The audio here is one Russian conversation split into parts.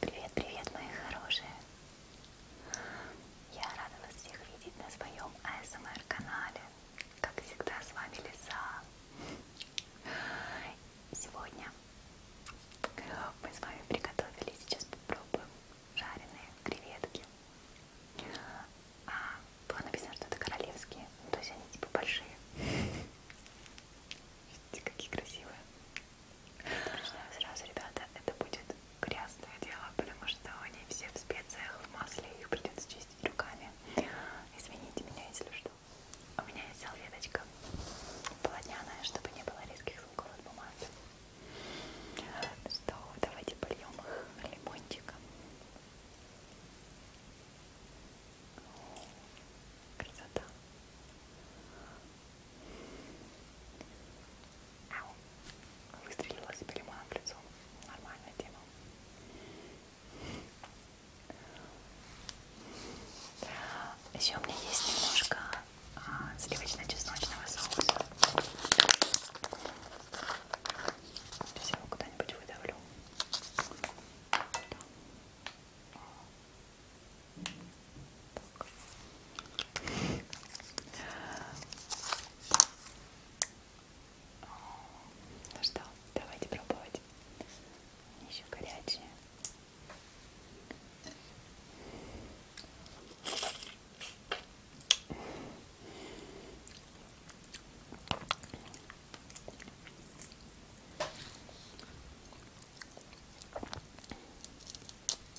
Привет, привет, мои хорошие! Я рада вас всех видеть на своем АСМР-канале. Как всегда, с вами Лиза. Сегодня мы с вами приготовили, сейчас попробуем жареные креветки. А, было написано, что это королевские, ну, то есть они типа большие. Видите, какие красивые. Предупреждаю сразу, ребята, это будет грязное дело, потому что они все в специях, в масле, их придется чистить руками. Извините меня, если что. У меня есть салфеточка полотняная, чтобы не было резких звуков от бумаги. Что, давайте польем их лимончиком. Красота. Ау. Выстрелила себе лимоном в лицо. Нормальная тема. Еще у меня есть немножко а, сливочно-чесночного соуса. Сейчас я его куда-нибудь выдавлю. Да. Так. Ну что, давайте пробовать. Еще горячие.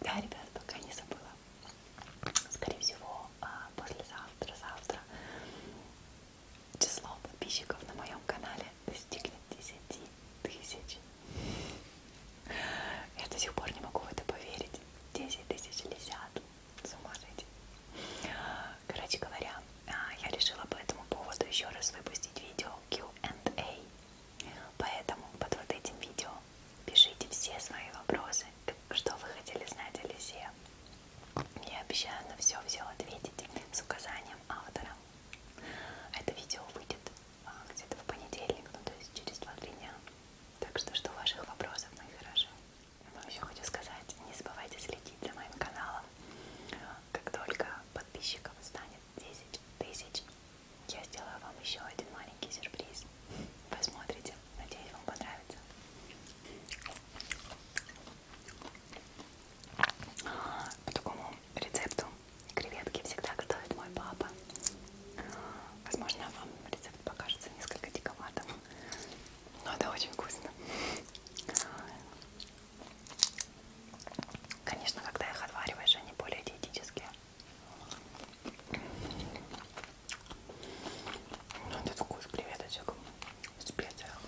Да, ребят, пока не забыла. Скорее всего, а, послезавтра, завтра число подписчиков на моем канале достигнет 10 тысяч. Я до сих пор не могу в это поверить. 10 тысяч лисят. С ума сойти. Короче говоря, а, я решила по этому поводу еще раз выпустить видео Q&A. Поэтому под вот этим видео пишите все свои вопросы, что вы хотели знать о Лизе. Я обещаю на все-все ответить с указанием автора. Это видео выйдет а, где-то в понедельник, ну то есть через 2-3 дня. Так что жду ваших вопросов, мои хорошие. Но ну, еще хочу сказать, не забывайте следить за моим каналом. Как только подписчиков станет 10 тысяч, я сделаю вам еще один маленький сюрприз. Посмотрите, надеюсь, вам понравится. По такому рецепту креветки всегда готовит мой папа. Возможно, вам рецепт покажется несколько диковатым, но это очень вкусно. Конечно, когда их отвариваешь, они более диетические. Этот ну, вкус креветочек в специях.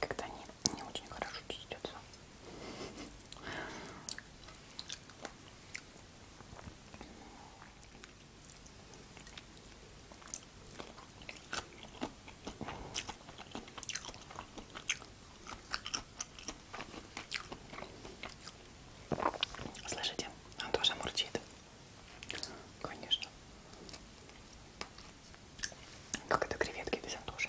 Когда они не очень хорошо чистятся. Слышите? Он тоже мурчит. Конечно. Как это креветки без антуши.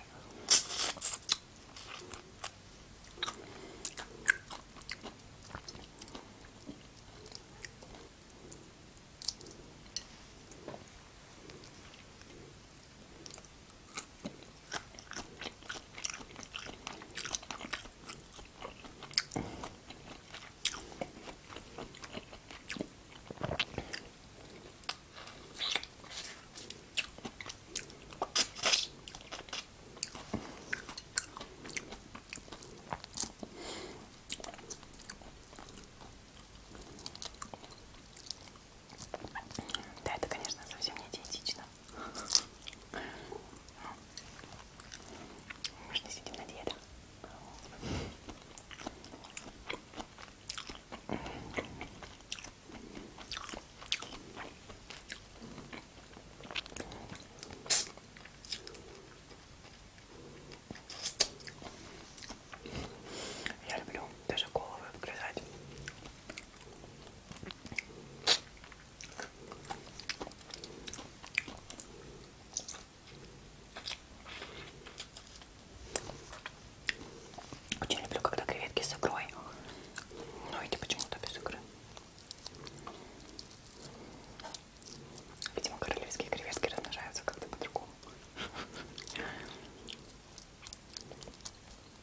Да, это, конечно, совсем не диетично. Мы же не сидим на диетах. Я люблю даже головы вгрызать. Очень люблю, когда креветки с икрой. Но ну, эти почему-то без икры. Видимо, королевские креветки размножаются как-то по-другому.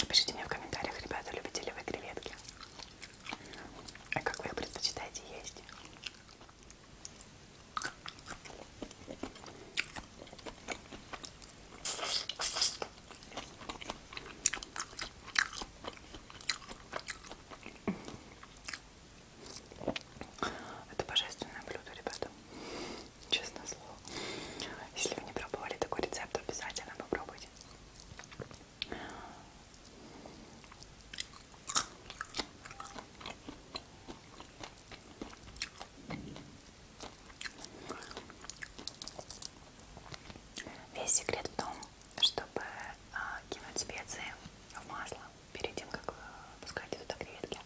Напишите мне в комментариях, ребята, любите ли вы креветки? А как вы их предпочитаете есть? Это божественное блюдо, ребята честное слово. Если вы не пробовали такой рецепт, обязательно попробуйте. Весь секрет в том, чтобы а, кинуть специи в масло перед тем, как э, пускать туда креветки.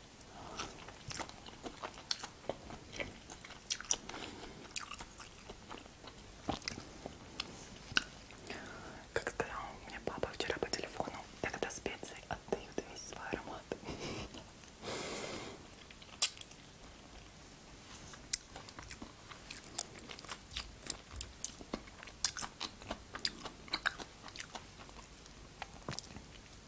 Как сказал мне папа вчера по телефону, тогда специи отдают весь свой аромат.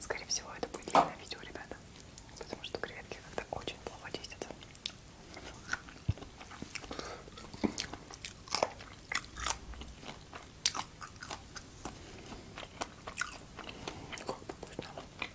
Скорее всего, это будет длинное видео, ребята, потому что креветки как-то очень плохо чистятся. Как-то вкусно.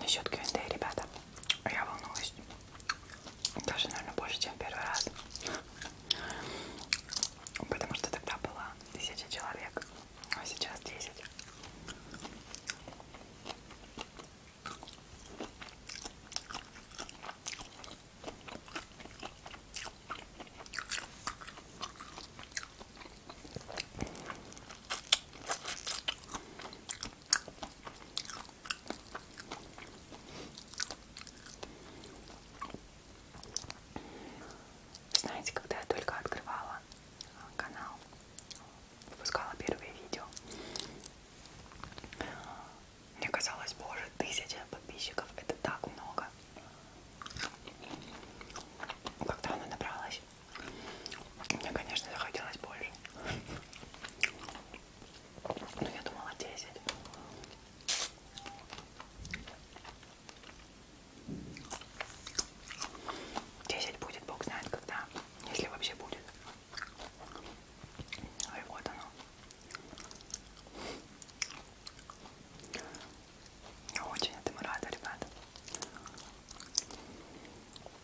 Насчет Q&A, ребята, я волнуюсь. Даже, наверное, больше, чем первый раз. Потому что тогда было тысяча человек, а сейчас 10. Знаете, когда я только открывала а, канал, выпускала первые видео, мне казалось, боже, тысяча подписчиков, это так много. Когда она набралась, мне, конечно, захотелось больше. Ну, я думала 10. Десять будет, бог знает когда, если вообще будет. И вот оно. Очень этому рада, ребята.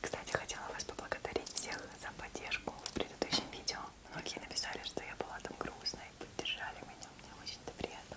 Кстати, хотела вас поблагодарить всех за поддержку в предыдущем видео. Многие написали, что я была там грустная и поддержали меня. Мне очень это приятно.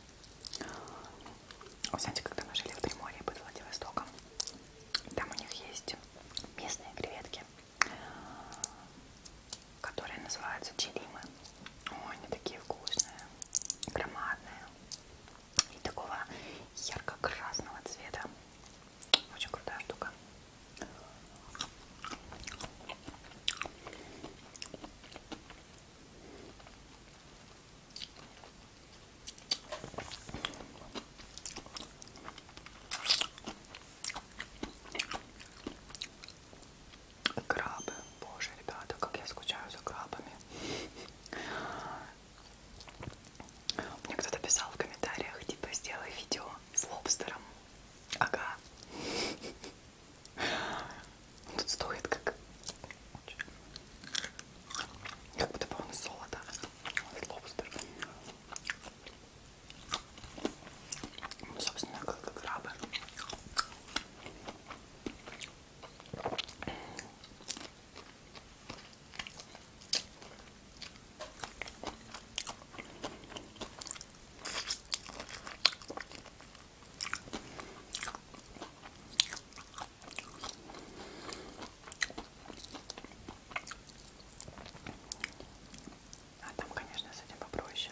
Вы а знаете, когда мы жили в Приморье под Владивостоком, там у них есть местные креветки, которые называются черимы. Ой, они такие вкусные, громадные и такого ярко-красного цвета. Очень крутая штука. Крабы. Боже, ребята, как я скучаю за крабами. Мне кто-то писал в комментариях, типа, сделай видео с лобстером. Ага. Тут стоит как... Как будто бы он из золота. Лобстер. Ну, собственно, как, как крабы. А там, конечно, с этим попроще.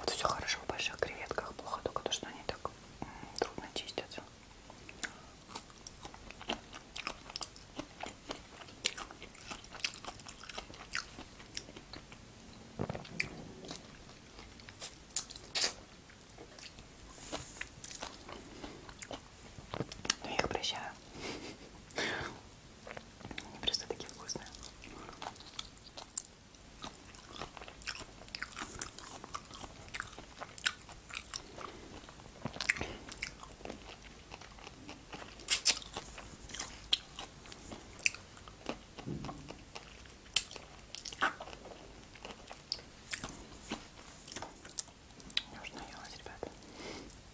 Вот все хорошо в больших креветках, плохо только то, что они так трудно чистятся. Но ну, я их прощаю. Они просто такие вкусные. Нужно делать, ребята.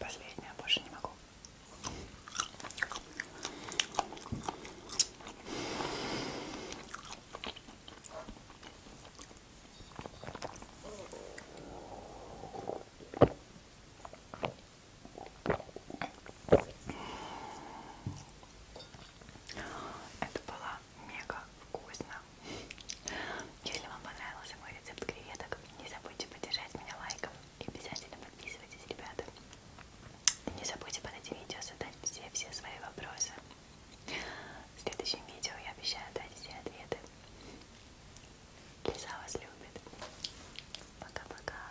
Последняя больше не могу. Это было мега вкусно. Если вам понравился мой рецепт креветок, не забудьте поддержать меня лайком и обязательно подписывайтесь, ребята. Не забудьте под этим видео задать все-все свои вопросы. В следующем видео я обещаю дать все ответы. Лиза вас любит. Пока-пока.